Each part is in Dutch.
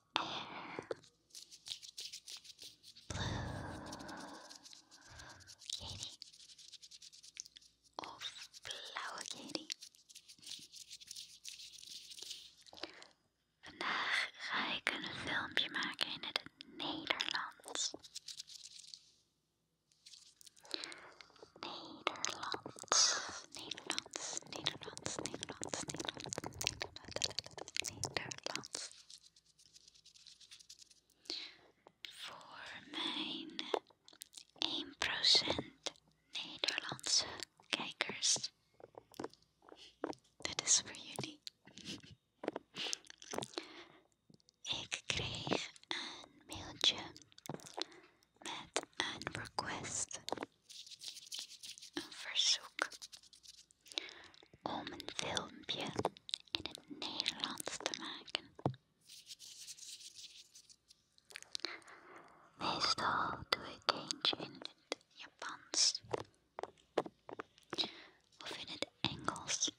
air. Blue. Of blauwe Katie. Vandaag ga ik een filmpje maken in het Nederlands. Nederland. Nederlands, Nederlands, Nederlands, Nederlands, Nederlands. Voor mijn 1% eh, Nederlandse kijkers. Dit is voor jullie. Ik kreeg een mailtje met een request, een verzoek, om een filmpje in het Nederlands te maken. Meestal doe ik eentje in het Japans of in het Engels.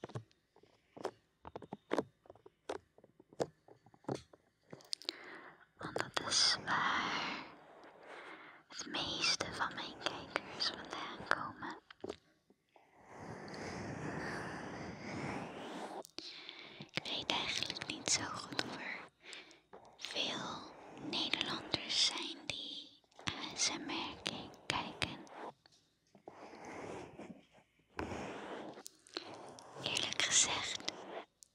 Want dat is het meeste van mijn kijkers vandaan komen. Ik weet eigenlijk niet zo goed of er veel Nederlanders zijn die ASMR kijken. Eerlijk gezegd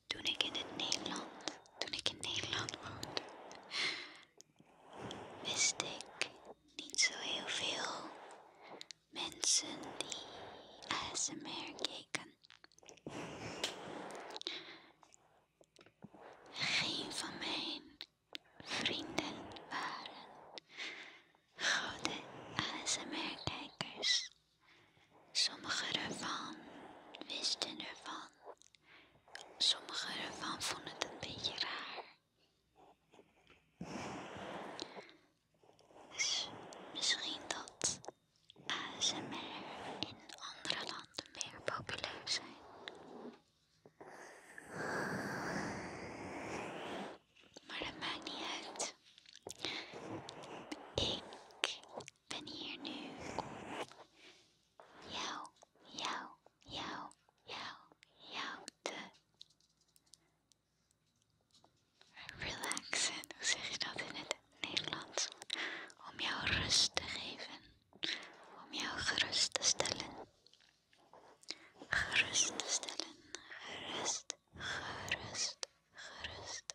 toen ik in Nederland, toen ik in Nederland woonde, wist ik niet zo heel veel mensen die ASMR keken. Geen van mijn vrienden waren grote ASMR-kijkers. Sommige ervan wisten ervan. Sommige ervan vonden het een beetje raar. Dus misschien dat ASMR in andere landen meer populair zijn. Maar dat maakt niet uit. Ik ben hier nu om jou, jou, jou, jou, jou te relaxen. Hoe zeg je dat in het Nederlands? Om jou rust te geven. Om jou gerust te stellen. Gerust te stellen. Gerust, gerust, gerust,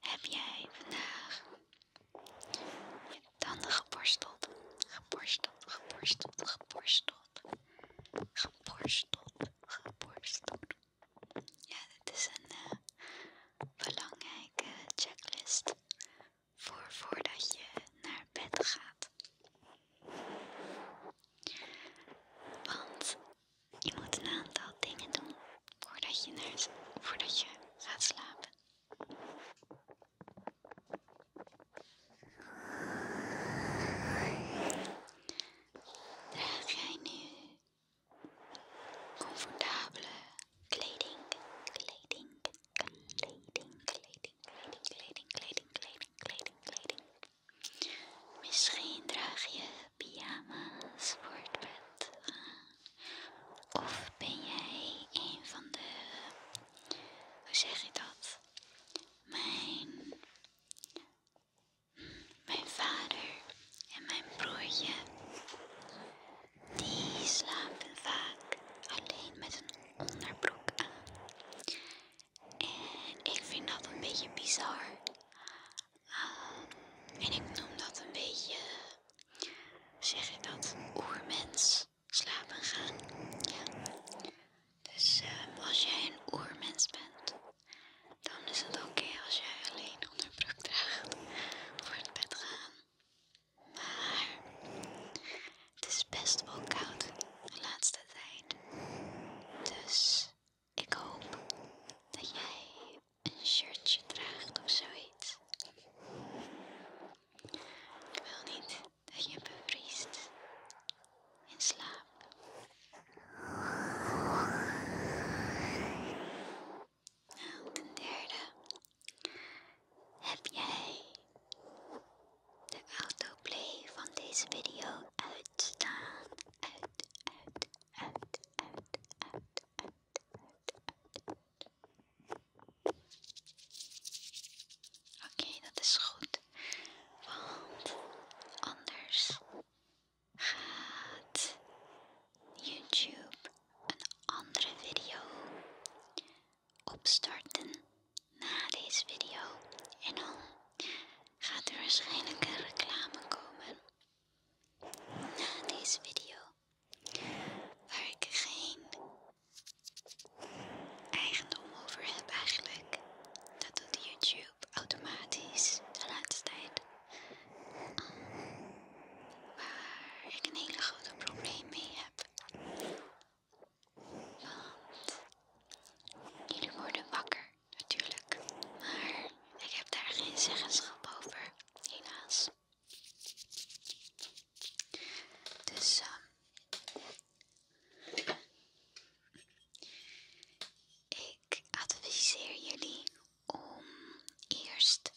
heb jij vandaag je tanden geborsteld? Geborsteld, geborsteld, geborsteld. Geborsteld, geborsteld. Ja, dit is een eh, belangrijke checklist voor voordat je naar bed gaat. Want je moet een aantal dingen doen voordat je, voordat je gaat slapen. Draag jij nu comfortabele kleding, kleding, kleding, kleding, kleding, kleding, kleding, kleding, kleding, kleding. Misschien draag je pyjama's voor het of ben jij een van de, hoe zeg je dat? Mijn, mijn vader en mijn broertje, die slapen vaak alleen met een onderbroek aan. En ik vind dat een beetje bizar. Ehm, en ik noem dat een beetje zeg ik dat, oermens slapen gaan. Ja. Dus ehm, als jij een oermens bent, dan is het oké als jij alleen onderbroek draagt voor het bed gaan. Maar het is best wel koud de laatste tijd. Dus ik hoop dat jij een shirtje draagt of zoiets. Ik wil niet dat je bevriest in slaap. ten derde heb jij de autoplay van deze video uitstaan. Uit, staan uit, uit, uit, uit, uit, uit, uit. Oké, dat is goed. Want anders gaat YouTube een andere video opstarten na deze video. En dan gaat er waarschijnlijk een reclame komen na deze video waar ik geen eigendom over heb eigenlijk. Dat doet YouTube automatisch de laatste tijd. waar ik een hele grote probleem mee heb. Want jullie worden wakker natuurlijk. Maar ik heb daar geen zeggenschap over, helaas. Dus ehm, ik adviseer jullie om eerst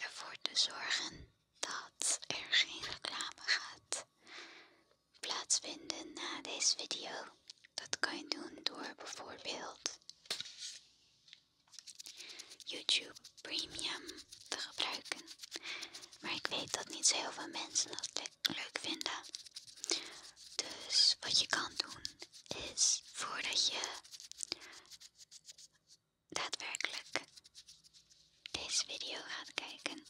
ervoor te zorgen dat er geen reclame gaat plaatsvinden na deze video. Dat kan je doen door bijvoorbeeld YouTube Premium te gebruiken. Maar ik weet dat niet zo heel veel mensen dat leuk vinden. Dus wat je kan doen is voordat je daadwerkelijk deze video gaat kijken,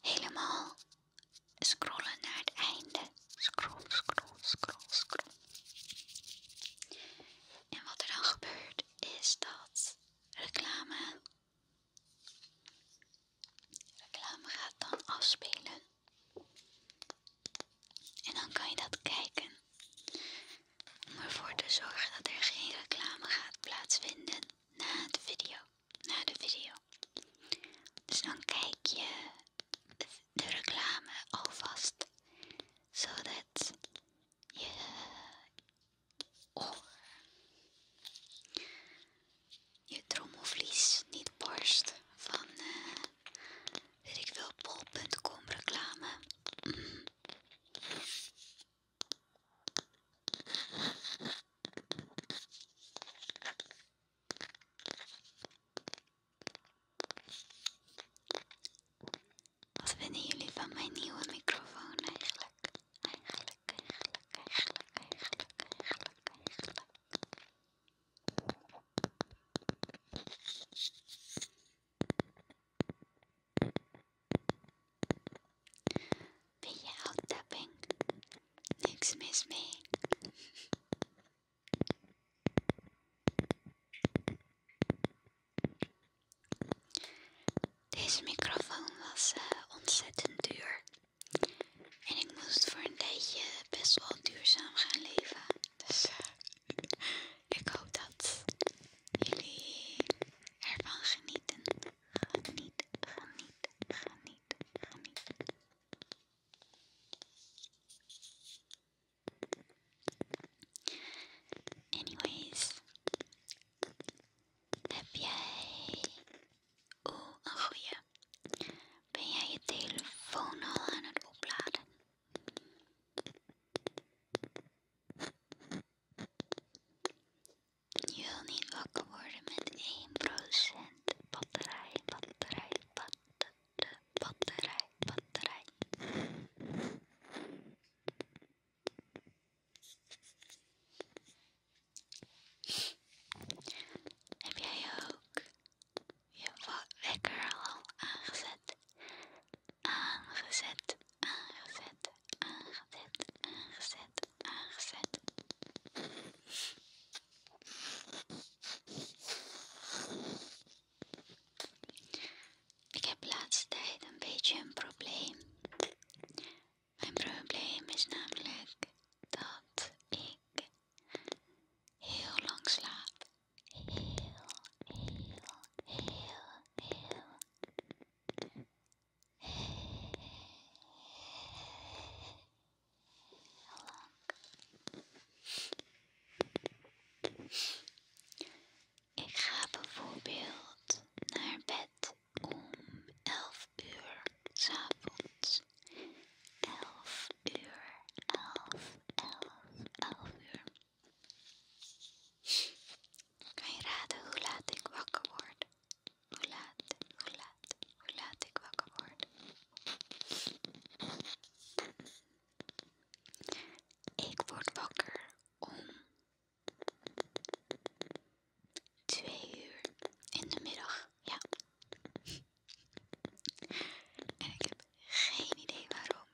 helemaal scrollen naar het einde. Scroll, scroll, scroll, scroll. En wat er dan gebeurt is dat reclame, reclame gaat dan afspelen. En dan kan je dat kijken. Om ervoor te zorgen dat er geen reclame gaat plaatsvinden na, de video, na de video. Dus dan kijk je de reclame alvast so that you oor, oh. je trommelvlies niet barst van, uh, weet ik veel, bol.com reclame. Wat vinden jullie van mijn nieuwe microfoon eigenlijk? Eigenlijk, eigenlijk, eigenlijk, eigenlijk, eigenlijk, eigenlijk. Ben je out tapping? Niks mis mee. Deze microfoon was eh, ontzettend duur. En ik moest voor een tijdje best wel duurzaam gaan leven. Dus eh, ik hoop dat jullie ervan genieten. Geniet, geniet, geniet, geniet. Anyways, heb jij. oh een goeie. Ben jij je telefoon al aan het opladen? Je wil niet wakker worden met 1% batterij, batterij, batterij batterij, batterij. Heb jij ook je wekker al aangezet? Aangezet, aangezet, aangezet, aangezet, aangezet. Ik heb laatst laatste tijd een beetje een probleem. Mijn probleem is namelijk dat ik heel lang slaap. Heel, heel, heel, ik ga bijvoorbeeld naar bed om elf uur s'avonds. Elf uur, 11, elf, elf uur. Kan je raden hoe laat ik wakker word? Hoe laat, hoe laat, hoe laat ik wakker word? Ik word wakker om twee uur in de middag. Ja. En ik heb geen idee waarom.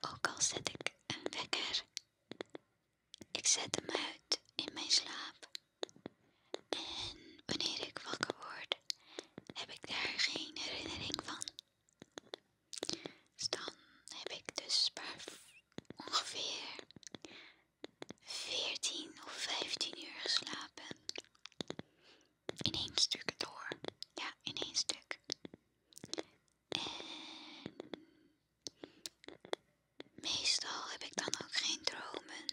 Ook al zet ik een wekker. Ik zet hem uit in mijn slaap. En wanneer ik wakker word, heb ik daar geen herinnering van. Dus dan heb ik dus ongeveer 14 of 15 uur geslapen. In één stuk door. Ja, in één stuk. En meestal heb ik dan ook geen dromen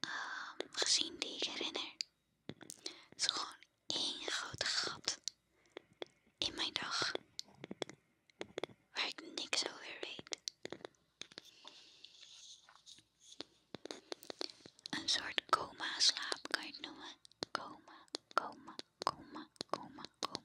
ehm, gezien die ik herinner. Het is gewoon één grote gat in mijn dag waar ik niks over weet. Een soort coma slaap kan je het noemen. Coma, coma, coma, coma, coma.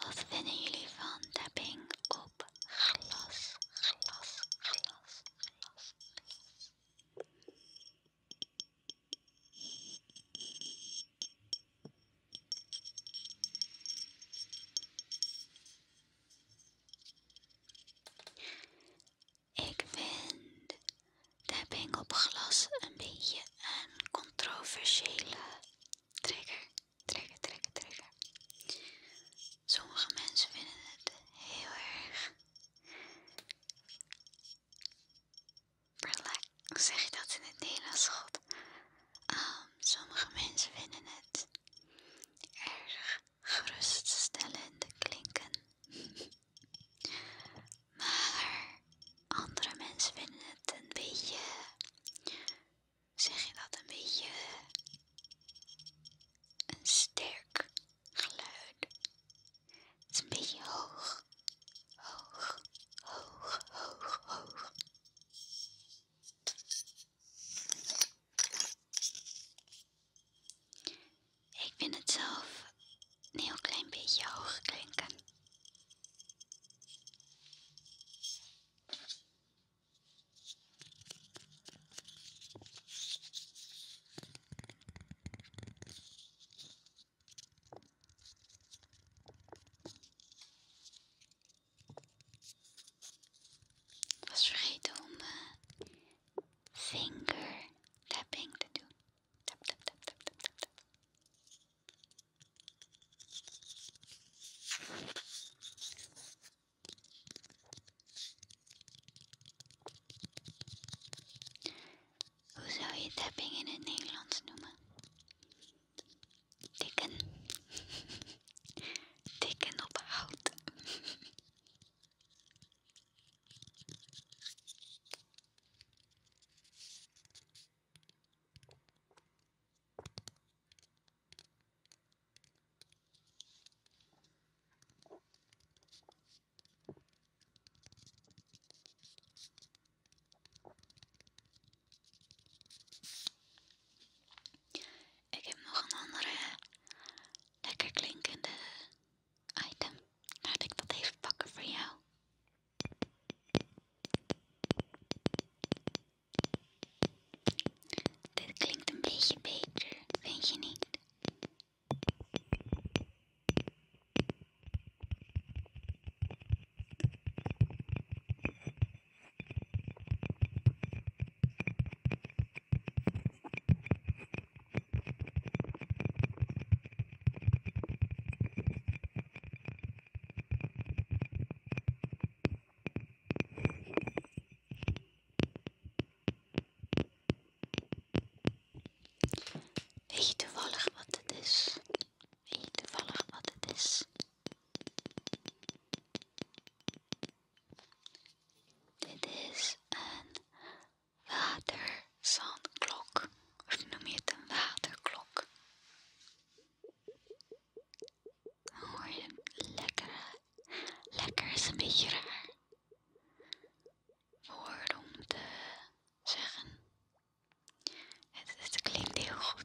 Wat vinden jullie van tapping op glas, glas, glas, glas, glas? Ik vind de op glas een beetje een controversiële trigger. Trigger, trigger, trigger. Sommige mensen vinden het heel erg. Relax. zeg je dat in het Nederlands? God. Ehm, sommige mensen vinden het erg geruststellend klinken. Maar andere mensen vinden het een beetje. Zeg je dat een beetje. Een sterk geluid. Het is een beetje hoog. Hoog, hoog, hoog, hoog. Ik vind het zelf een heel klein beetje hoog klinken was vergeten om mijn eh, te doen. Tap, tap, tap, tap, tap, Hoe zou je tapping in het Nederlands noemen? Tikken. Tikken op hout. Ik heb nog een andere lekker klinkende item. Laat ik dat even pakken voor jou. Dit klinkt een beetje beter, vind je niet? Weet je toevallig wat het is? Weet je toevallig wat het is? Dit is een water zandklok of noem je het een waterklok. Dan hoor je een lekker is een beetje raar woord om te zeggen. Het, het klinkt heel goed.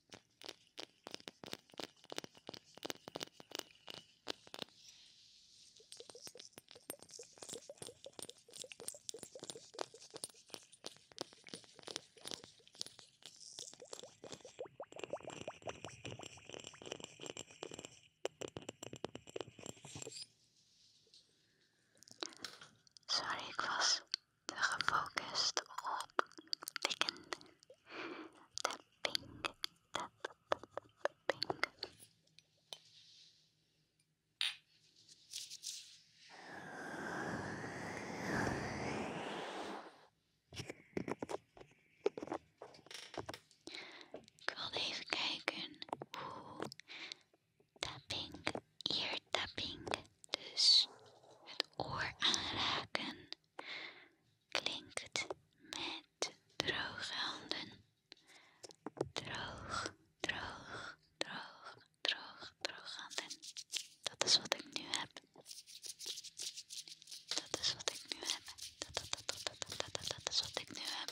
Sorry, ik was gefocust op tikken. Tapping, tapping. Ik wil even kijken hoe tapping, ear tapping, dus het oor aanraken klinkt met droge handen. Droog, droog, droog, droog, handen. Dat is wat ik nu heb. Dat is wat ik nu heb. Dat, dat, dat, dat, dat, dat, dat, dat is wat ik nu heb.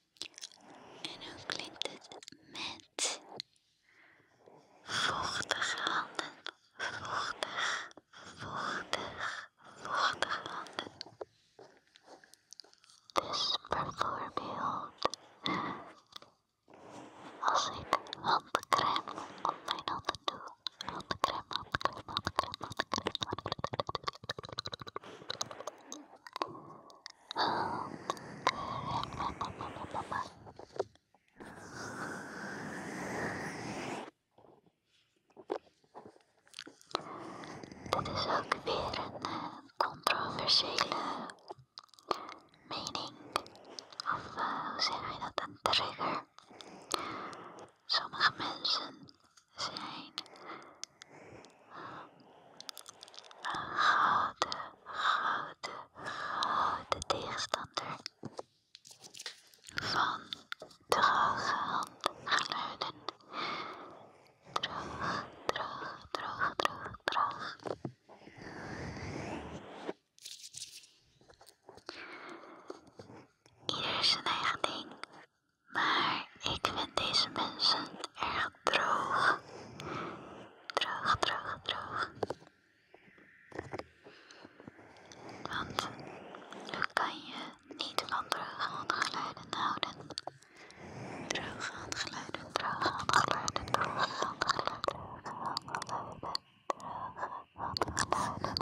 En hoe klinkt het met vochtige handen? Vochtig, vochtig, vochtige handen. Dus bijvoorbeeld eh, als ik handcreme op mijn handen doe. Handcreme, handcreme, handcreme, handcreme, handcreme. Dit is ook weer een eh, controversiële mening. Of eh, hoe zeg je dat? Een trigger. Sommige mensen zijn gouden, gouden, gouden tegenstander van droge handgeluiden. Droog, droog, droog, droog, droog. Ieder zijn eigen ding. Maar ik vind deze mensen erg droog. Droog, droog, droog. Want hoe kan je niet van droge geluiden houden? Droge handgeluiden, droge handgeluiden, droge geluiden, droge handgeluiden, droge droog droge geluiden.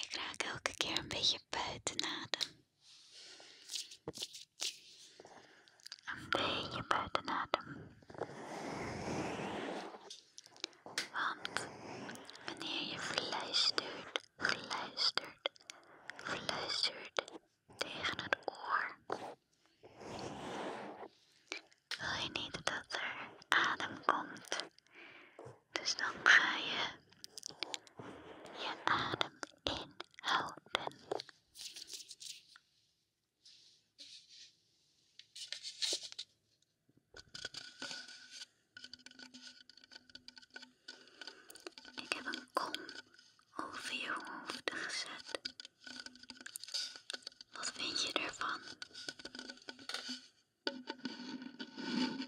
Ik raak elke keer een beetje buiten adem. Een beetje buiten adem. Want wanneer je fluistert, fluistert, fluistert tegen het oor, wil je niet dat er adem komt. Dus dan ga je je adem inhouden. Ik heb een kom over je hoofd gezet. Wat vind je ervan?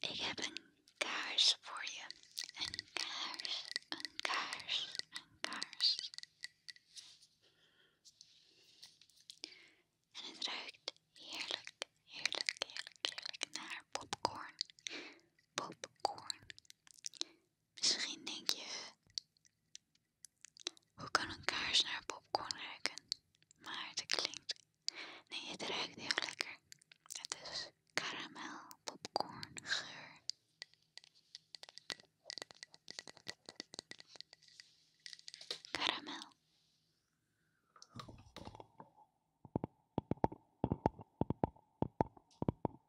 Ik heb een kaars voor je. Een kaars, een kaars, een kaars. En het ruikt heerlijk, heerlijk, heerlijk, heerlijk naar popcorn. Popcorn. Misschien denk je, hoe kan een kaars naar popcorn ruiken? Maar het klinkt, nee het ruikt heel lekker. Het is karamel popcorn geur. Karamel.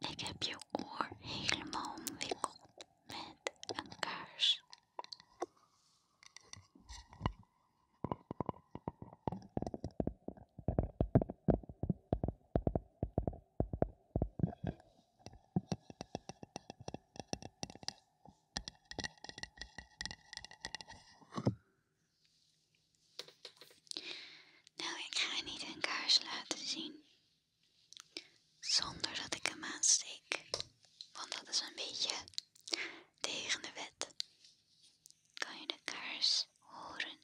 Ik heb je oor helemaal omwikkeld met een kaars. Nou, ik ga niet een kaars laten zien. Zonder dat ik hem aansteek, want dat is een beetje tegen de wet. Kan je de kaars horen?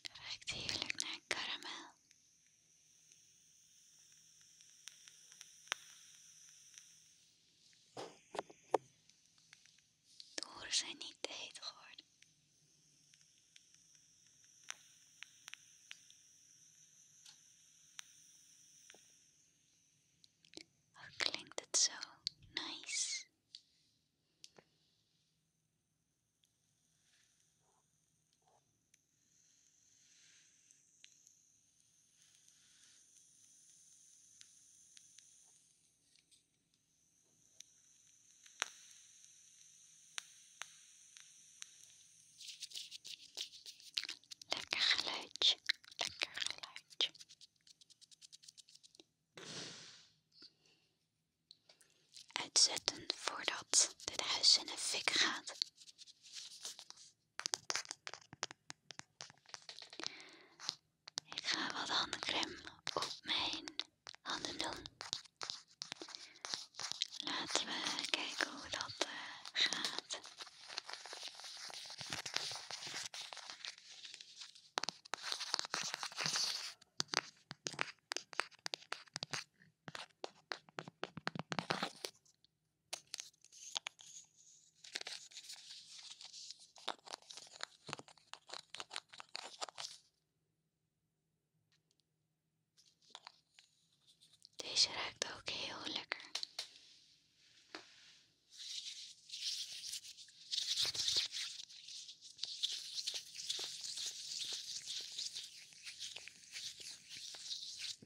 Ruikt heerlijk naar karamel. De oren zijn niet te heet geworden. Wat klinkt het zo nice? Lekker geluidje, lekker geluidje. Uitzetten voordat dit huis in de fik gaat. Ik ga wat handcreme op mijn handen doen. Laten we kijken hoe dat eh, gaat. Deze ruikt ook heel lekker.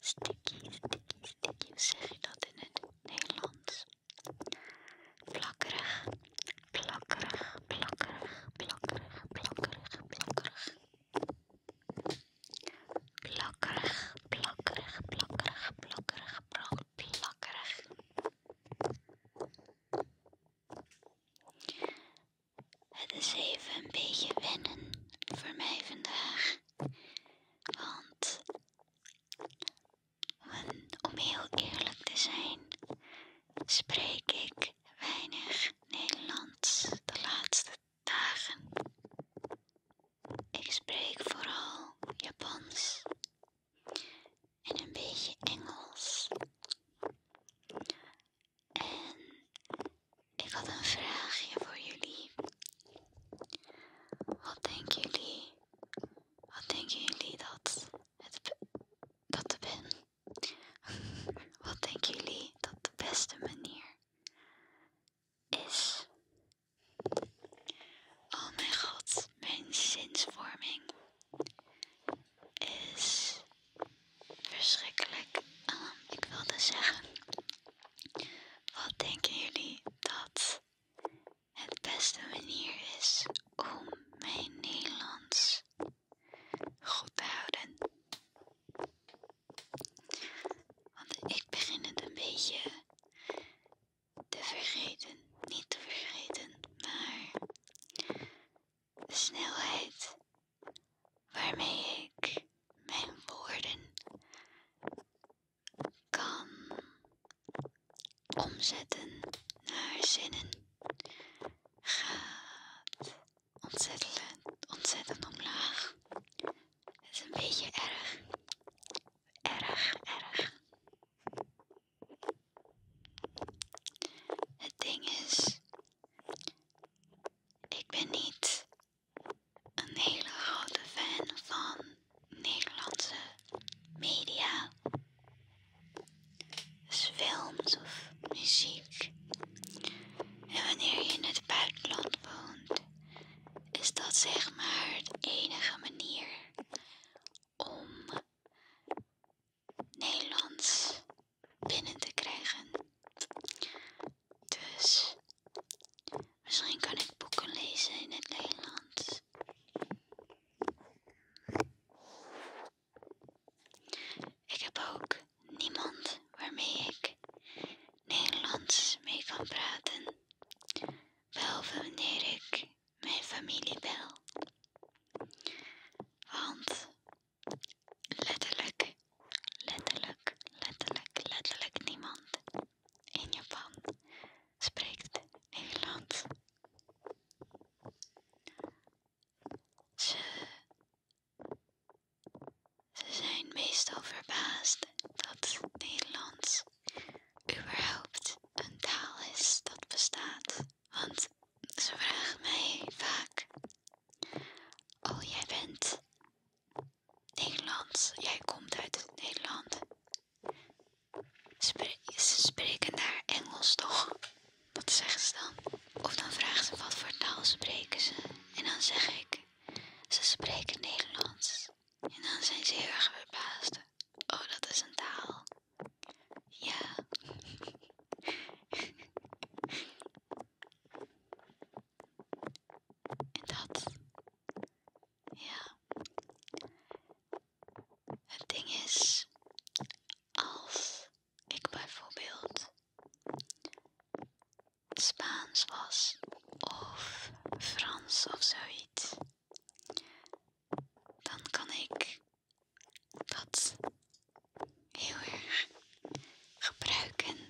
Sticky, sticky, sticky. Hoe zeg je dat in het Nederlands? Plakkerig, plakkerig, plakkerig, plakkerig, plakkerig, plakkerig. Plakkerig, plakkerig, plakkerig, plakkerig, plakkerig. Het is even een beetje wennen voor mij vandaag. Want om heel eerlijk te zijn, spreek ik weinig Nederlands de laatste dagen. Ik spreek vooral Japans en een beetje Engels. En ik had een vraagje voor jullie. Wat denken jullie? Wat denken jullie dat het dat de ben? Wat denken jullie dat de beste manier is? Oh mijn god, mijn zinsvorming is verschrikkelijk. Ehm, ik wilde zeggen wat denken jullie dat het beste manier is om mijn Nederlands goed te houden? Want ik begin het een beetje te vergeten. Niet te vergeten, maar de snelheid waarmee ik mijn woorden kan omzetten naar zinnen gaat ontzettend, ontzettend omlaag. Het is een beetje erg. Erg, erg. Het ding is, ik ben niet een hele grote fan van Nederlandse media, films of muziek. En wanneer je in het buitenland woont, is dat zeg maar de enige manier om Nederlands binnen te krijgen. Dus misschien kan ik boeken lezen in het Nederlands. Ik heb ook niemand waarmee ik Nederlands mee kan praten. Wel wanneer ik mijn familie bel. Want Letterlijk, letterlijk, letterlijk, letterlijk niemand in Japan spreekt Nederlands. Ze, ze zijn meestal verbaasd dat Nederlands überhaupt een taal is dat bestaat. Want ze vragen mij vaak: Oh, jij bent Nederlands. Jij komt uit Nederland. ze spreken daar Engels toch? Wat zeggen ze dan? Of dan vragen ze wat voor taal spreken ze. En dan zeg ik, ze spreken Nederlands. En dan zijn ze heel erg verbaasd. Oh, dat is een taal. Ja. En dat. Ja. Het ding is, als ik bijvoorbeeld Spaans was of Frans of zoiets, dan kan ik dat heel erg gebruiken.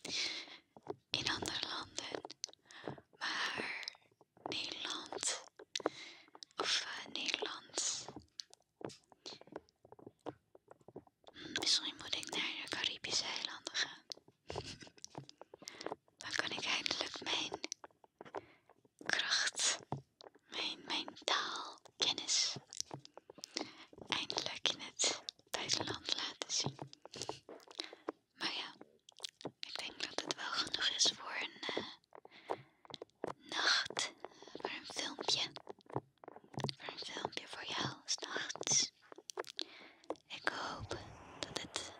in andere landen. Maar Nederland of eh, Nederland. Hm, misschien moet ik naar de Caribische eilanden gaan. Dan kan ik eindelijk mijn kracht, mijn, mijn taalkennis eindelijk in het Thijsland laten zien. Maar ja, ik denk dat het wel genoeg is voor een eh, nacht, voor een filmpje. Voor een filmpje voor jou, nachts. Ik hoop dat het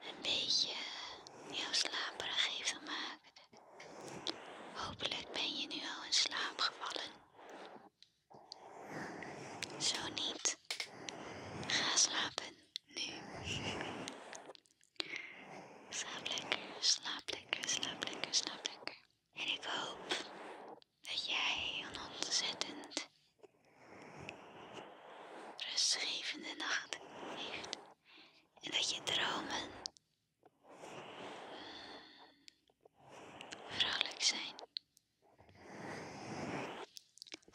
een beetje jou slaperig heeft gemaakt. Hopelijk ben je nu al in slaap gevallen. Zo niet. Ga slapen nu. Slaap lekker, slaap lekker, slaap lekker, slaap lekker. En ik hoop dat jij een ontzettend rustgevende nacht heeft. En dat je dromen vrolijk zijn.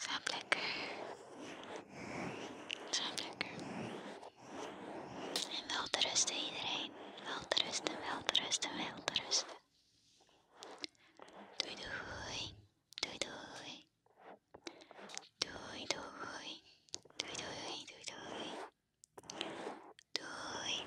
Slaap lekker. Slaap lekker. En wel te iedereen. Wel te rusten, wel te rusten, wel te rusten. Doei doei. Doei doei. Doei doei, doei doei. Doei.